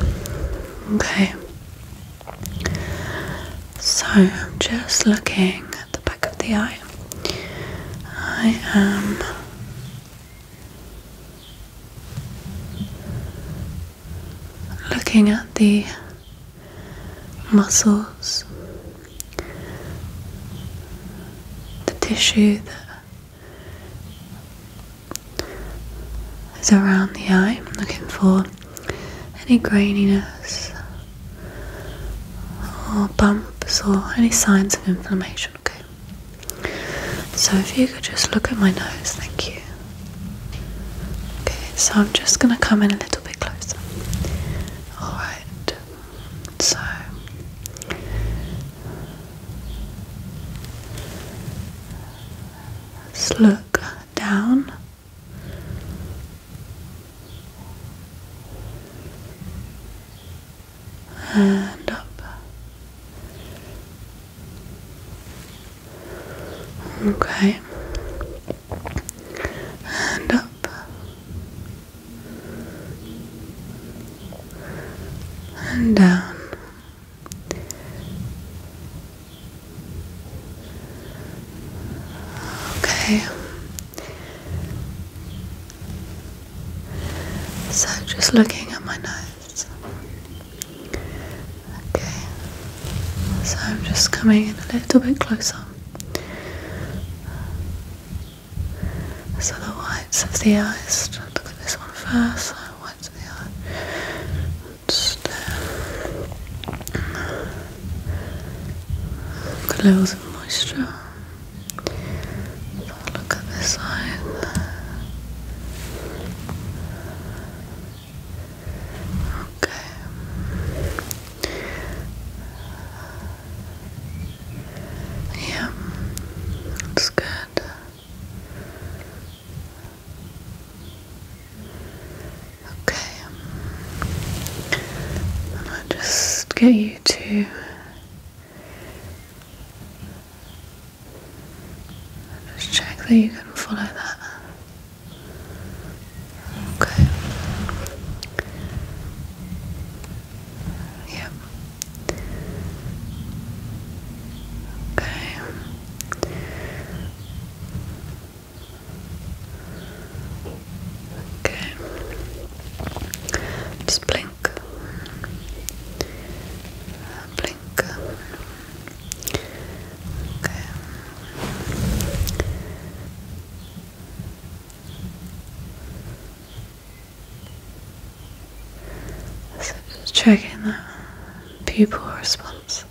Okay. So I'm just looking at the back of the eye. I am looking at the muscles, the tissue that is around the eye. looking for any graininess or bumps or any signs of inflammation. Okay. So if you could just look at my nose, thank you. Okay, so I'm just gonna come in a little bit closer. Alright. So Slow down. And up. Okay. And up. And down. Okay. So just looking at my nose. Okay. So I'm just coming in a little bit closer. So the whites of the eyes. Look at this one first what's the other? It's the Glows and Moisture. look at this side. Okay. Yeah, that's good. Okay, um, and I'll just get you to just check that you can follow that. Okay. Yep. Okay. Okay. Just blink. Blink. Okay. checking the pupil response.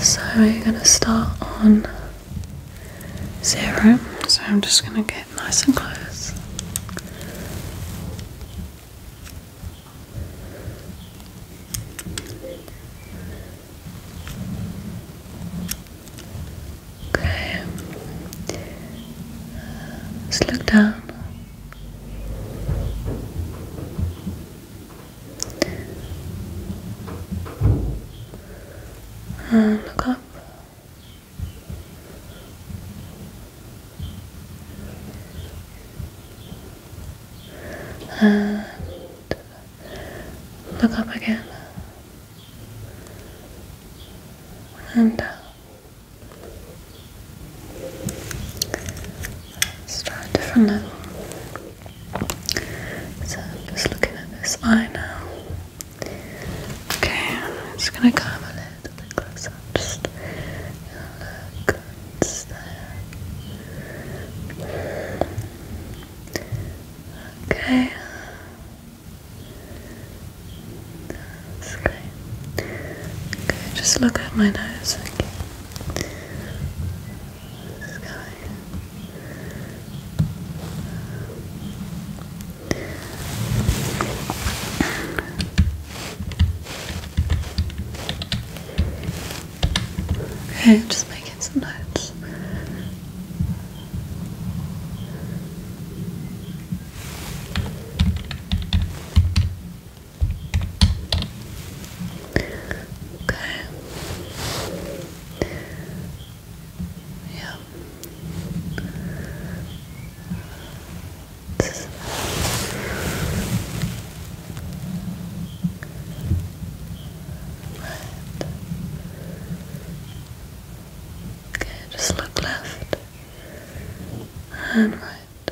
So we're going to start on zero. So I'm just going to get nice and close. Okay. Just look down. And uh, look up. And look up again. And uh, let a different level. So I'm just looking at this eye now. Okay, I'm just gonna come a little bit closer. Just look it's there. Okay. That's Okay, just look at my nose Okay. Okay, I'm just making some notes. Okay. Yeah. right. Okay, just look left and right.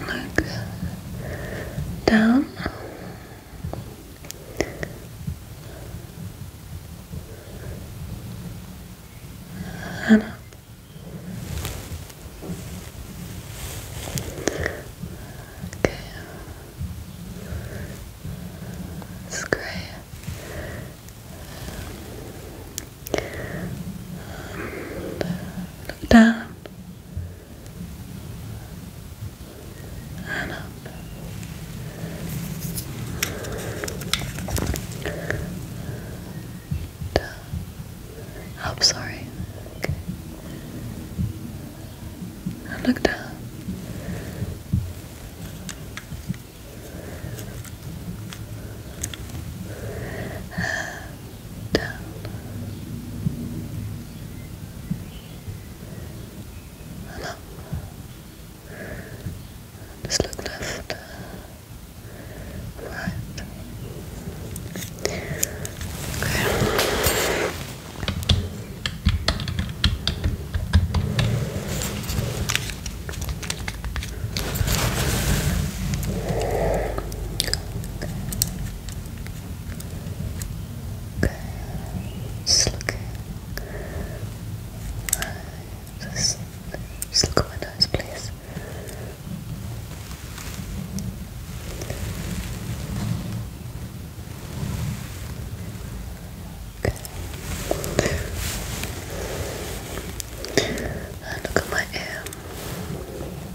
look down. And up. Okay. It's great. look down and up. Down. Oh, up, sorry. look down down. And just look left right. Okay. Okay, just looking. Just, just look at my please. Okay. look at my ear.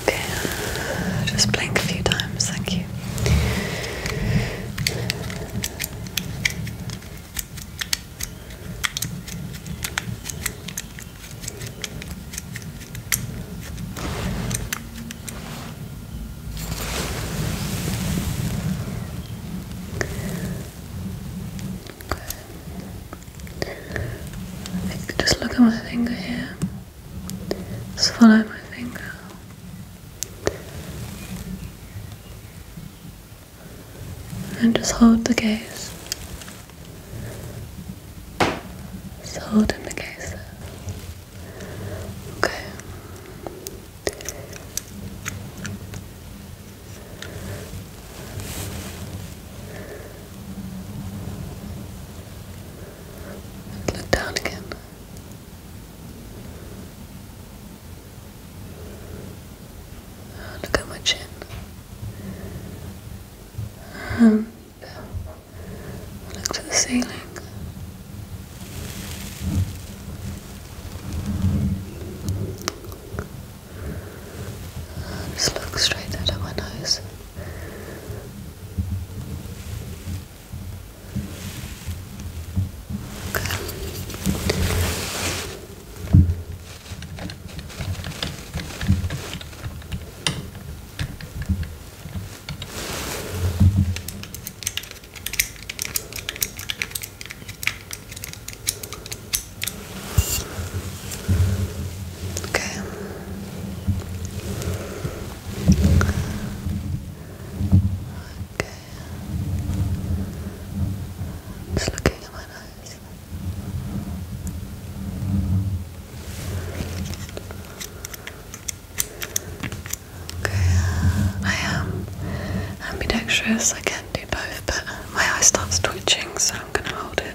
Okay, just blink a few times, thank you. Just look at my finger here. Just follow my finger. And just hold the gaze. Just hold in the gaze. Okay look down again. Ah, look at my chin. Um, look to the ceiling. Just look straight out my nose. Okay. Okay. Okay. Just looking at my nose. Okay, I am ambidextrous. I can do both, but my eye starts twitching, so I'm gonna hold it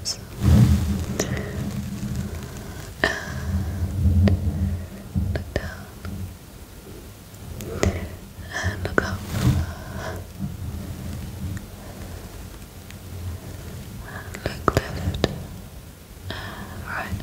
this. And look down. And look up. look left. And right.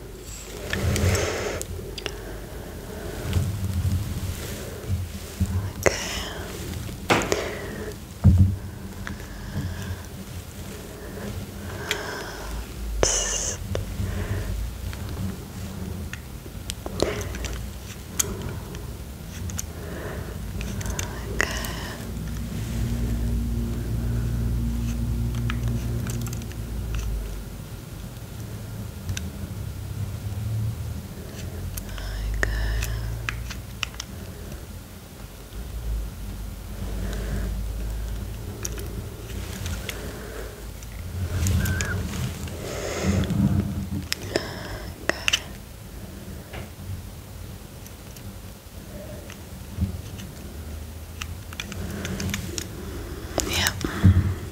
Just Okay. Okay. Like, Good. Yep.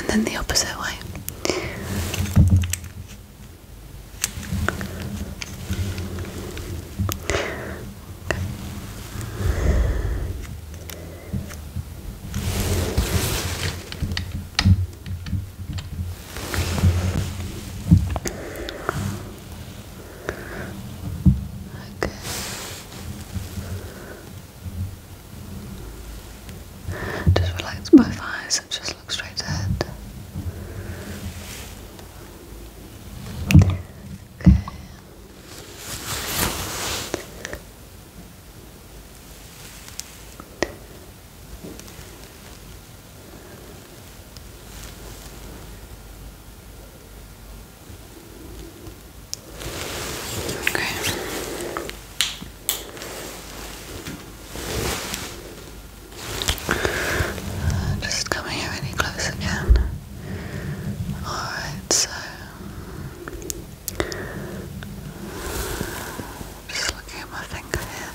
and then the opposite way. Okay. Just relax both eyes and just look straight ahead. Okay. Okay. Uh, just coming here any close again. Alright, so just looking at my finger here.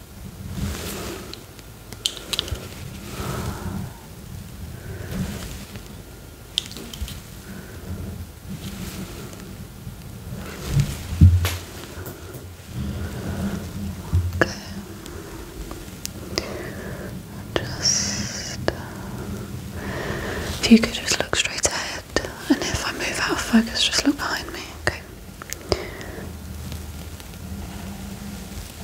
Okay. Just uh, if you could just look straight ahead, and if I move out of focus, just look behind me. Okay. Okay. Look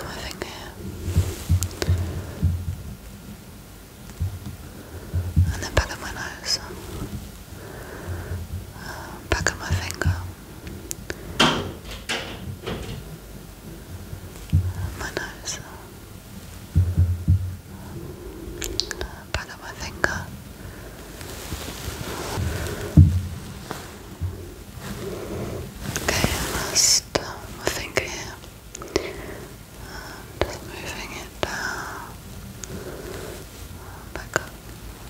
at my finger And the back of my nose back of my finger. My nose. Back of my finger. Okay, I my finger just moving it down, back up,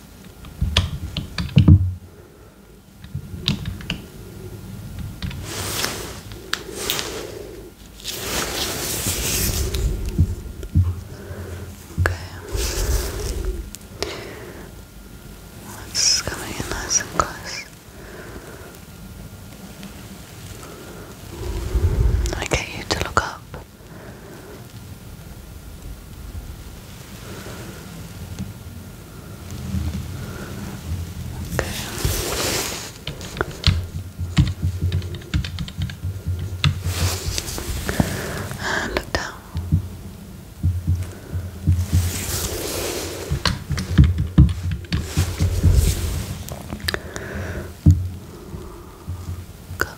Okay. It's coming in nice and close. I get you to look up. And look down. Cup.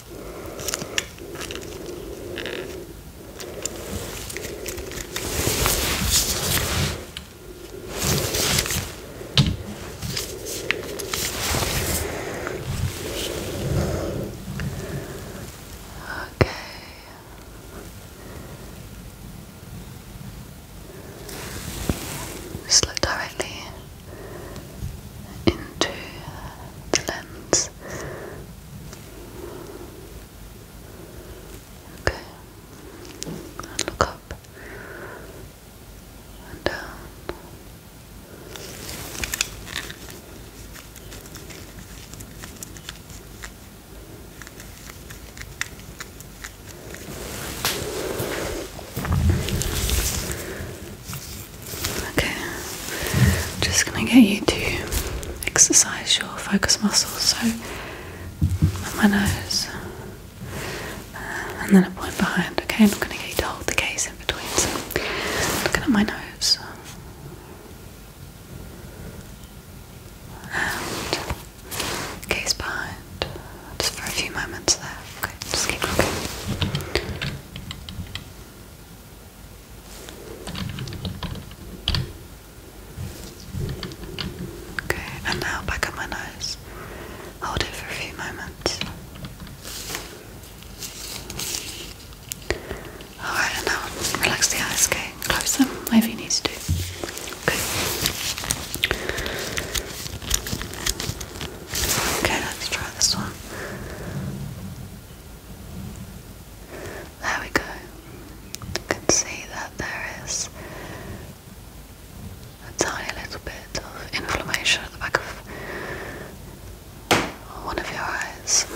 Okay. Just directly into the lens this. Okay. look up down. Okay, just gonna get you to exercise your focus muscles. So, my nose, and then a point behind. Okay, I'm not gonna get you to hold the gaze in between. So, looking at my nose, and gaze behind. Just for a few moments there. Okay, just keep looking. Okay, and now back up my nose. Hold it for a few moments. Alright, and now relax the eyes, okay? Close them, if you need to Okay. Okay, let's try this one. There we go. You can see that there is a tiny little bit of inflammation at the back of one of your eyes.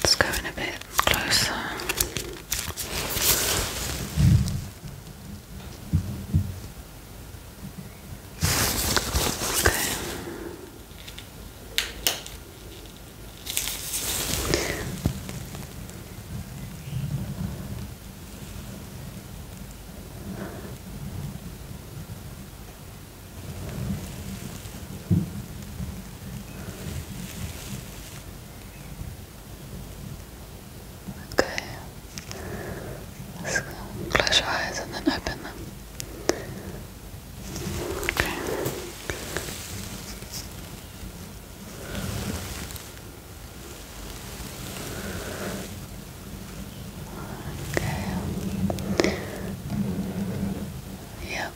Let's go in a bit closer. Okay. Okay. close your eyes and then open them. Okay. Okay. Yep.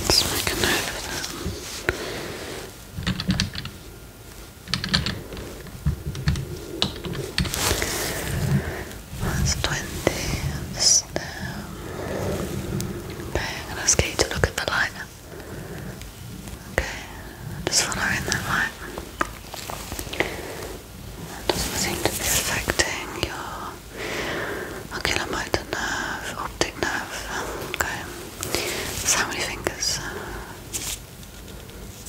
Let's make a note of that. That's 20 at Okay, I'm gonna ask you to look at the light. Okay, just following that light. That doesn't seem to be affecting your oculomotor nerve, optic nerve. Okay, how many fingers? Okay,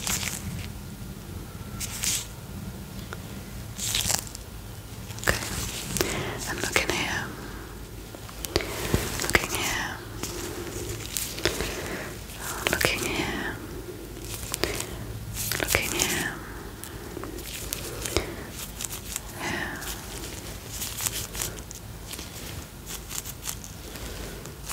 I'm looking here. Looking here. looking here. Looking here. Here. Okay.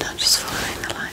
Now just following the light.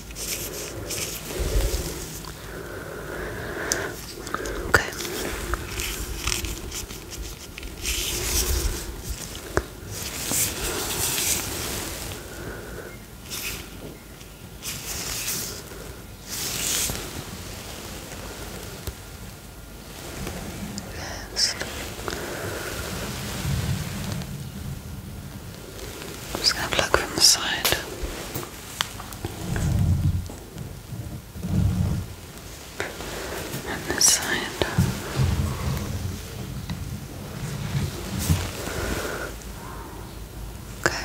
Okay. Yes. just going to pluck from the side. And this side. Okay.